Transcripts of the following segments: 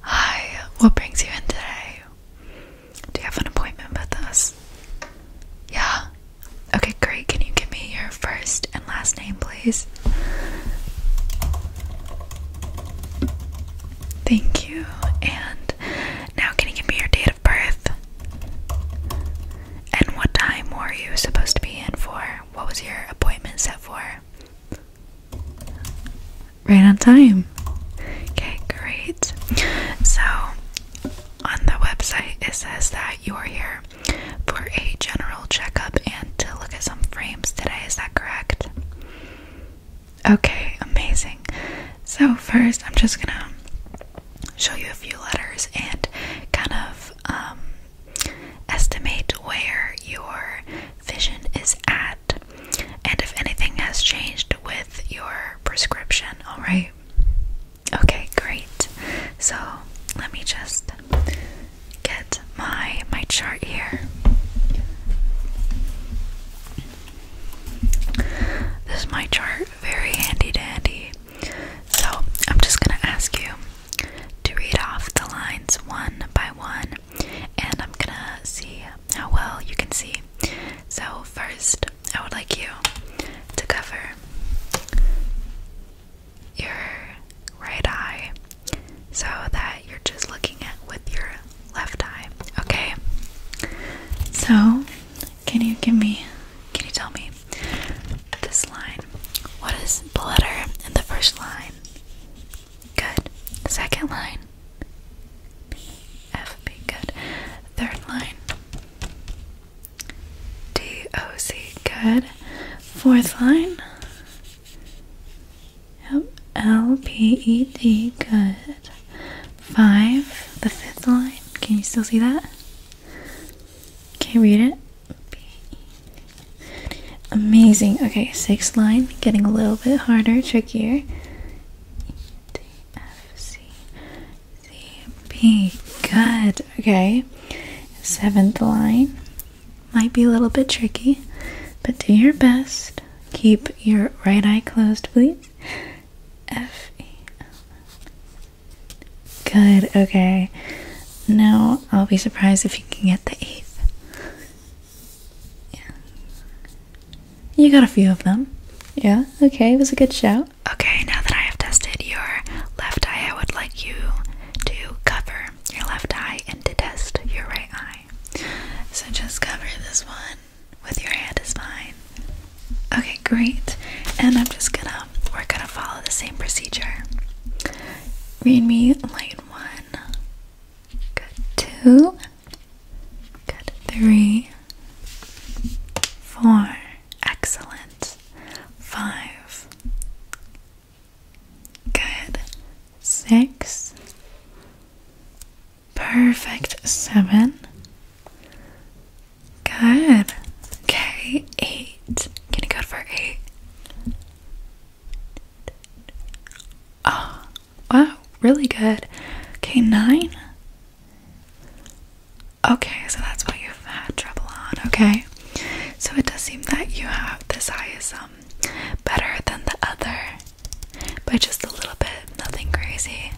Hi, what brings you in today? Do you have an appointment with us? Yeah? Okay, great. Can you give me your first and last name, please? Thank you. And now, can you give me your date of birth? And what time were you supposed to be in for? What was your appointment set for? Right on time. Okay, great. So, on the website, it says that you are here for a general checkup and to look at some frames today. Is that correct? Okay, amazing. So, first, I'm just gonna show you a few letters and kind of um, estimate where your vision is at and if anything has changed with your prescription, alright? Okay, great. So let me just get my my chart here. This is my chart, very handy dandy. So I'm just gonna ask you to read off the lines one by one and I'm gonna see how well you can see. So, first, I would like you to cover your right eye so that you're just looking at with your left eye, okay? So, can you give me, can you tell me this line? What is the letter in the first line? Good. Second line. B, F, B. Good. Third line. D, O, C. Good. Fourth line. Yep. L, P, E, D. Good. Five. The fifth line. Can you still see that? Can you read it? Amazing. Okay, sixth line, getting a little bit harder, trickier. D, F, C, C, B. Good. Okay. Seventh line might be a little bit tricky, but do your best. Keep your right eye closed, please. F, E, L, Good. Okay. Now I'll be surprised if you can get the eighth. Yeah. You got a few of them. Yeah, okay, it was a good show. Okay, now that I have tested your left eye, I would like you to cover your left eye and to test your right eye. So just cover this one with your hand is fine. Okay, great. And I'm just gonna, we're gonna follow the same procedure. Read me light one, Good two, good three, four, excellent, five, good, six, perfect, seven, good, okay, eight, can you go for eight? Oh, wow, really good. Okay, nine. Okay, so that's what you've had trouble on. Okay, so it does seem that you have this eye is um, better than the other by just a little bit. Nothing crazy.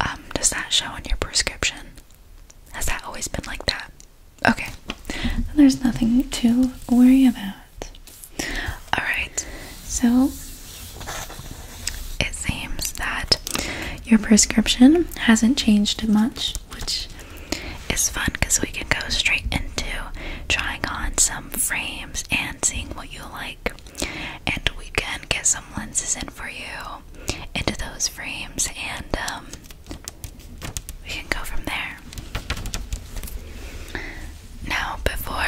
Um, does that show in your prescription? Has that always been like that? Okay, there's nothing to worry about. Alright, so it seems that your prescription hasn't changed much, which is fun because we can go straight into trying on some frames and seeing what you like. And we can get some lenses in for you into those frames, and um, we can go from there now before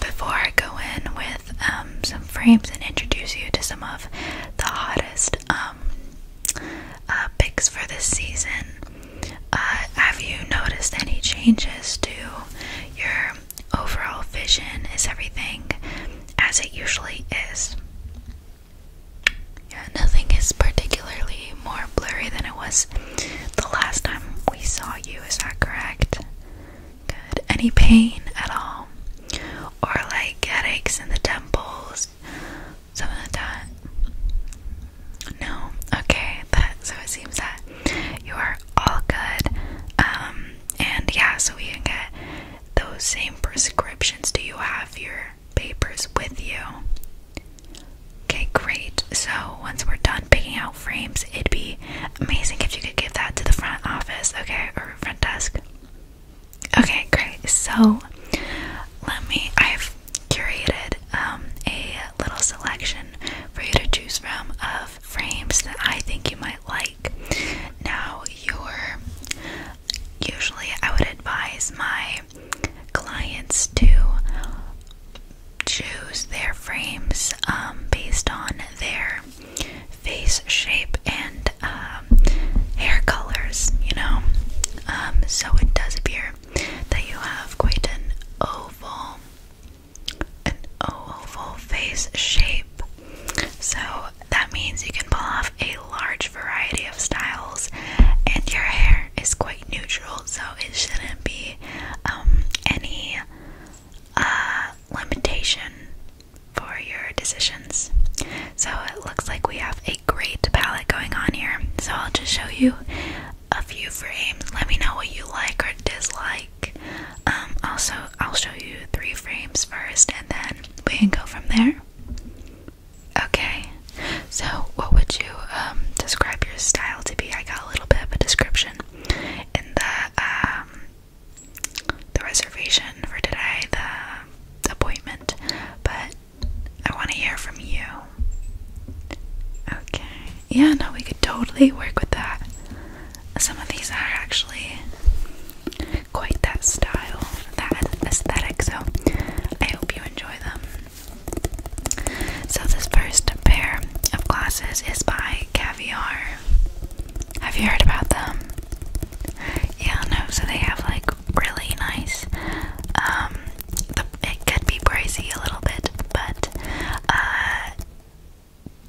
before I go in with um, some frames and introduce you to some of the hottest um, uh, picks for this season, uh, have you noticed any changes to your overall vision? Is everything as it usually is? Yeah, nothing is particularly more blurry than it was the last time we saw you. Is that correct? Good. Any pain at all? Or like headaches in the temples? Something like that? No? Okay. so it seems that you are all good. Um, and yeah, so we can get those same prescriptions. Do you have your papers with you? Okay, great. So once we're done picking out frames, it'd be amazing if you could give that to the front office, okay, or front desk. Okay, great. So let me, I've curated um, a little selection for you to choose from of frames that I think you might like. Now, your usually I would advise my clients to choose their frames um, based on their face shape and um, hair colors, you know. Um, so it does appear that you have quite an oval, an oval face shape. So that means you can pull off a large variety of styles, and your hair is quite neutral, so it shouldn't be um, any uh, limitation for your decisions. So it looks like we have a great palette going on here. So I'll just show you a few frames. Let me know what you like or dislike. Um, also, I'll show you three frames first and then we can go from there. Okay, so what would you um, describe your style to be? I a little bit of a description in the um the reservation for today, the appointment, but I want to hear from you. Okay. Yeah, no, we could totally work with that. Some of these are actually quite that style, that aesthetic, so I hope you enjoy them. So, this first pair of glasses is by Caviar. Have you heard about them? Yeah, no, so they have like really nice, um, it could be pricey a little bit, but uh,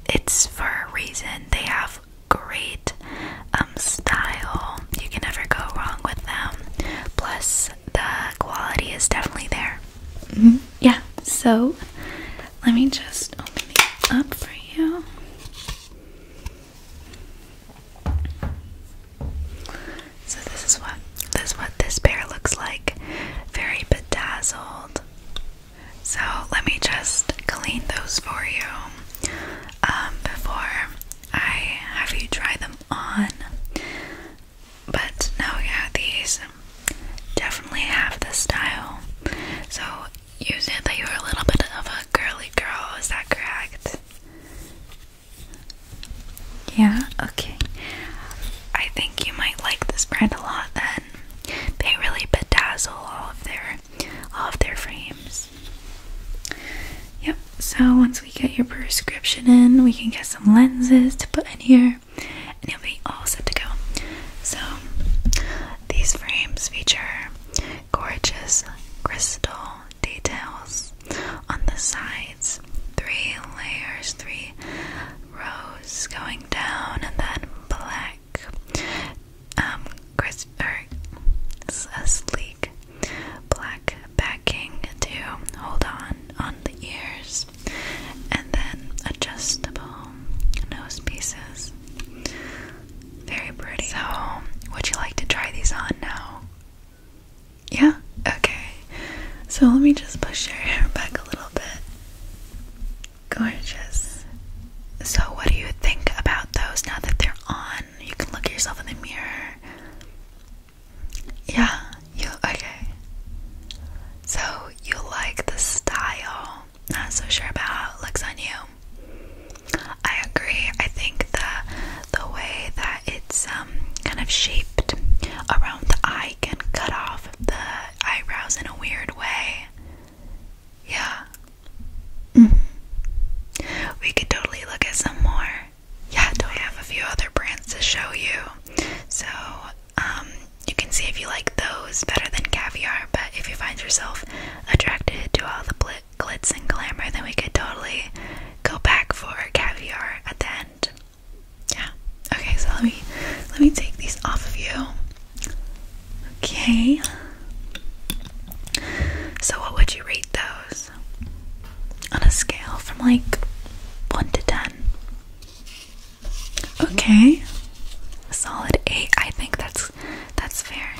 it's for a reason. They have great um, style, you can never go wrong with them. Plus, the quality is definitely there. Yeah, so let me just open these up for you. So this is what this is what this pair looks like. Very bedazzled. So let me just clean those for you um, before I have you try them on. But now yeah, these definitely have the style. So you said that you are a little bit of a girly girl, is that correct? Yeah, okay. I think you might like this brand a lot then. They really bedazzle all of their all of their frames. Yep, so once we get your prescription in, we can get some lenses to put in here and you'll be all set to go. So, these frames feature gorgeous crystal details on the sides, three layers, three rows going down, and then black. Um, crisp, er, a sleek black backing to hold on on the ears, and then adjustable nose pieces. Very pretty. So, would you like to try these on now? Yeah? Okay. So, let me just push your hair back a little bit. Gorgeous. So, what do you think about those now that they're on? You can look at yourself in the mirror. Yeah, you okay? So you like the style? Not so sure about how it looks on you. I agree. I think the the way that it's um kind of shaped around the eye can cut off the eyebrows in a weird way. Yeah. -hmm. We could totally look at some more. Yeah, do I have a few other brands to show you? So um, you can see if you like those better than caviar, but if you find yourself attracted to all the glitz and glamour, then we could totally go back for caviar at the end. Yeah. Okay, so let me let me take these off of you. Okay. So what would you rate those? On a scale from like 1 to 10. Okay. solid 8. I think that's that's fair.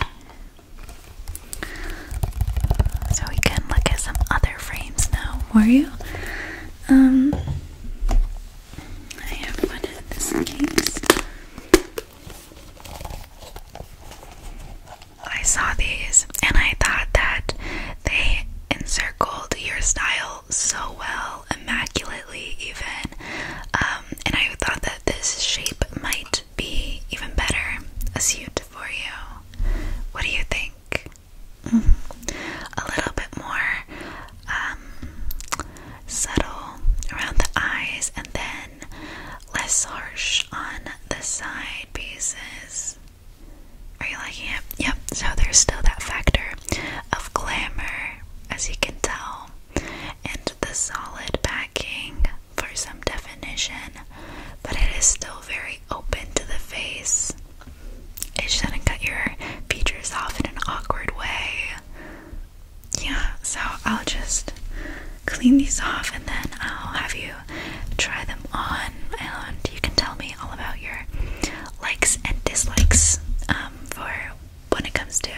So we can look at some other frames now, were you? Um I have one in this case. I saw these and I thought that they encircled your style so well, immaculately even. Um, and I thought that this shape might be even better a suit for you. What do you think? A little bit more um, subtle around the eyes and then less harsh on the side pieces. Are you liking it? Yep, so there's still that factor of glamour, as you can tell, and the solid backing for some definition, but it is still very open to the face. It shouldn't cut your features off in an awkward way. Yeah, so I'll just clean these off and then I'll have you try them on, and you can tell me all about your likes and dislikes um, for when it comes to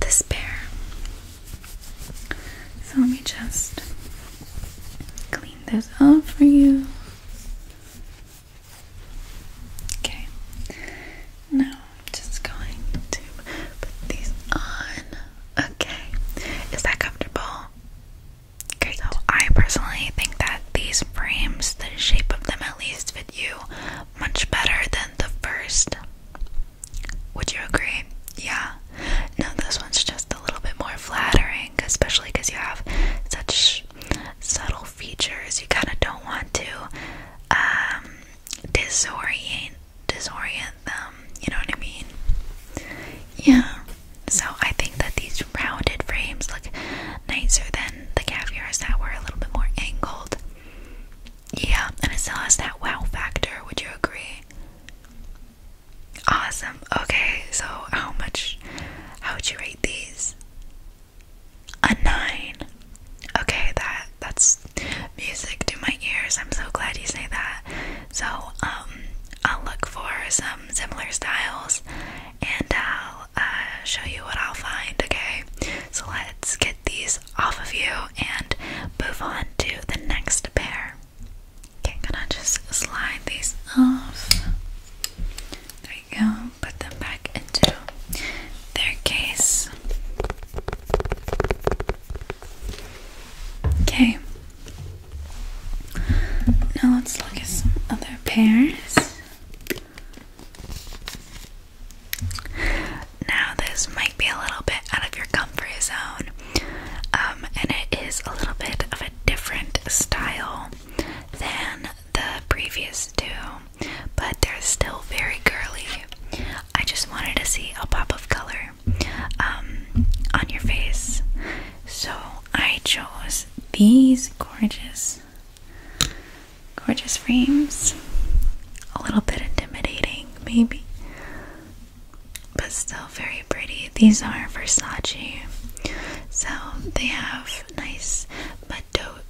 this pair. So let me just clean those off for you. Okay, now I'm just going to put these on. Okay, is that comfortable? Great. So I personally think that these frames, the shape of them at least, you much better than the first. Would you agree? Yeah. No, this one's just a little bit more flattering, especially because you have such subtle features. You kind of don't want to um, disorient disorient them. You know what I mean? Yeah. So I think that these rounded frames look nicer than the caviars that were a little bit more angled. Yeah, and it still has that wow factor, would you agree? Awesome. Okay, so how much how would you rate these? A nine. Okay, that that's music to my ears. I'm so glad you say that. So, um, I'll look for some similar styles and I'll uh, show you what I'll find, okay? So let's get these off of you and move on to the next pair. Okay, gonna just slide these off. There you go, put them back into their case. Okay. Now let's look at some other pairs. Now, this might be a little bit out of your comfort zone, um, and it is a little bit of a different style than the previous two, but they're still very girly. I just wanted to see a pop of color um, on your face, so I chose these gorgeous Gorgeous frames. A little bit intimidating, maybe, but still very pretty. These are Versace, so they have nice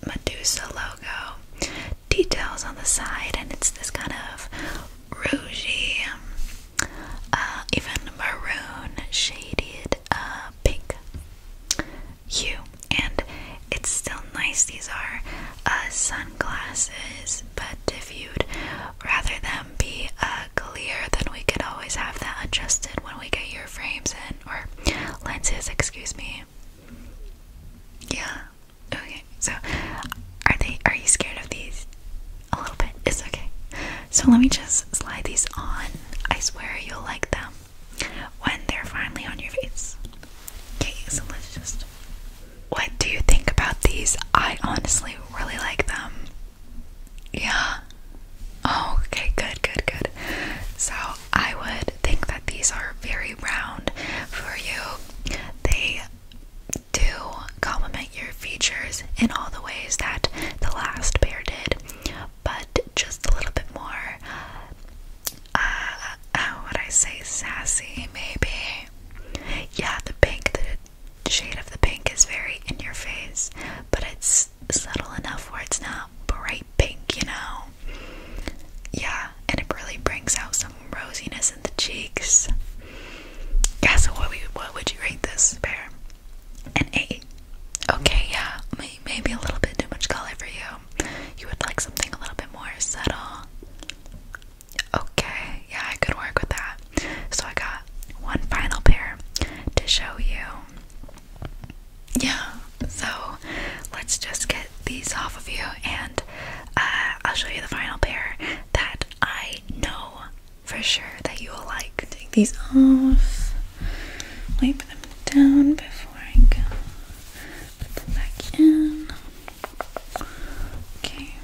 Medusa logo details on the side, and it's this kind of rougey, uh, even maroon shaded uh, pink hue and it's still nice. These are uh, sunglasses, but if you'd rather them be uh, clear, then we could always have that adjusted when we get your frames in or lenses, excuse me. Yeah. Okay. So, are they? Are you scared of these? A little bit. It's okay. So let me just slide these on. I swear you'll like them when they're finally on your face. Okay, so let's just. What do you think about these? I honestly really like them. Yeah. Oh, okay, good, good, good. So I would think that these are very round for you. They do complement your features in all the ways that the last pair did, but just a little bit more, uh, would I say, sassy, maybe? Yeah, the pink, the shade of the pink is very in your face, but it's subtle enough where it's not bright pink, you know? Yeah, and it really brings out some rosiness in the cheeks. Guess what, we, what would you rate this pair? An 8. Okay, yeah, maybe a little bit too much color for you. You would like something a little bit more subtle. Okay, yeah, I could work with that. So I got one final pair to show you. Yeah, so let's just get these off of you and uh, I'll show you the final pair that I know for sure that you will like. Take these off, wipe them down before I go. Put them back in. Okay.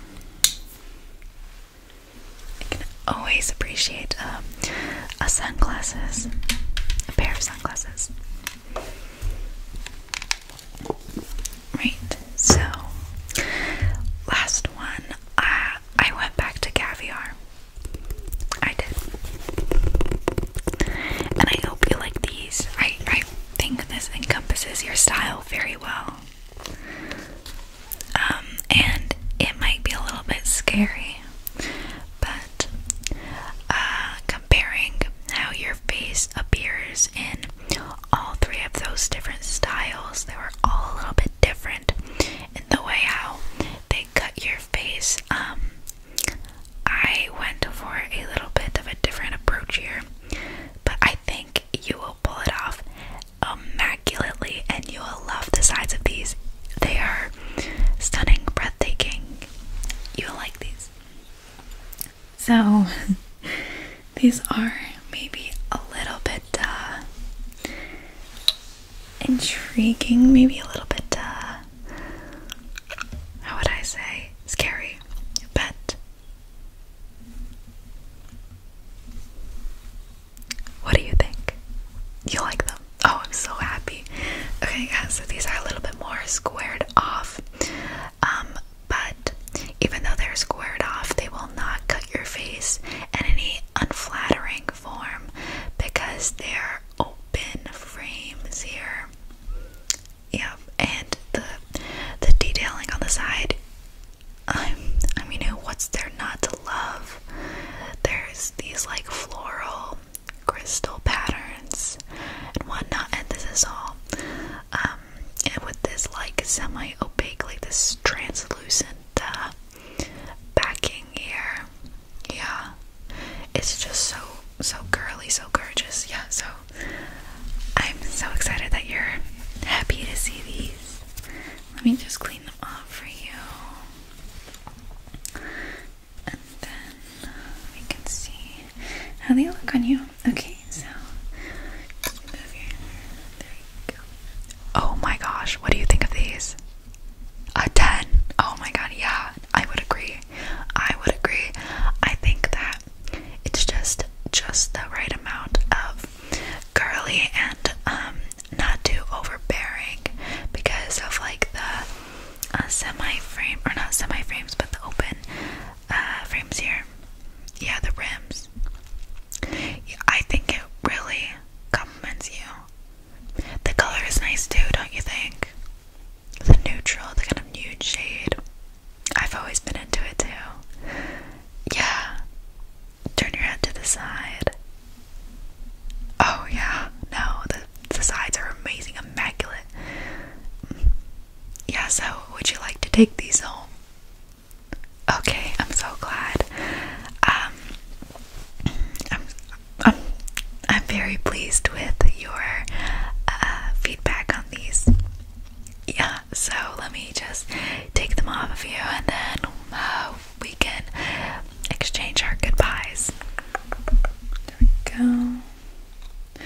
I can always appreciate um, a sunglasses, a pair of sunglasses. Right. So, last one. Uh, I went back to caviar. I did. And I hope you like these. I, I think this encompasses your style very well. Um, and it might be a little bit scary, but uh, comparing how your face appears in all three of those different styles, they were all a little bit different in the way how they cut your face. Um, I went for a little bit of a different approach here, but I think you will pull it off immaculately and you will love the sides of these. They are stunning, breathtaking. You'll like these. So, these are maybe a little bit uh, intriguing, maybe a little bit uh, how would I say, scary, but what do you think? You like them? Oh, I'm so happy. Okay, guys, so these are a little bit more squared off. Um, but even though they're squared off, they will not cut your face in any unflattering form because they're open frames here. Yeah, and the the detailing on the side. Um, i mean, what's there not to love? There's these like floral crystal patterns and not? and this is all um, and with this like semi-opaque, like this translucent uh, backing here. Yeah. It's just so so girly, so gorgeous. Yeah, so I'm so excited that you're happy to see these. Let me just clean them up for you. And then we can see how they look on you. Okay, so move your there you go. Oh my gosh, what do you think of these? A 10. Oh my god, yeah, I would agree. I would agree. I think that it's just just the right amount of girly and um not too overbearing because of like the uh, semi frame or not semi frames but the open uh frames here. Yeah, the rims. Yeah, I think it really compliments you. The color is nice too, don't you think? the neutral, the kind of nude shade. I've always been into it too. Yeah. Turn your head to the side. Oh yeah. No, the the sides are amazing, immaculate. Yeah, so would you like to take these home? Okay, I'm so glad. Um I'm, um, I'm very pleased with your uh, feedback on these. Yeah, so let me just take them off of you and then uh, we can exchange our goodbyes. There we go. Oh,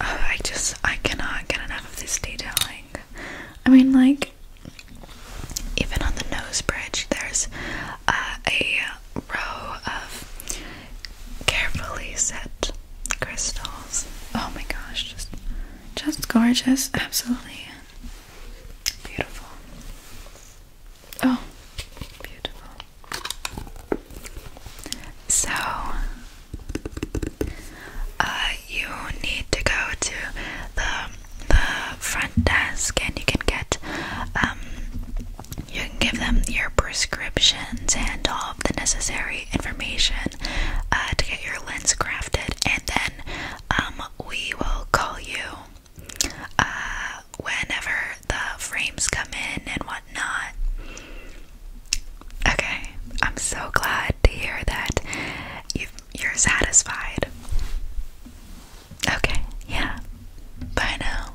I just, I cannot get enough of this detailing. I mean, like, even on the nose bridge, there's uh, a row of carefully set crystals. Oh my gosh, just just gorgeous, absolutely beautiful. Oh, beautiful. So uh you need to go to the the front desk and you can get um you can give them your prescriptions and all of the necessary information uh, to get your lens crafted, and then um, we will call you uh, whenever the frames come in and whatnot. Okay, I'm so glad to hear that you're satisfied. Okay, yeah. Bye now.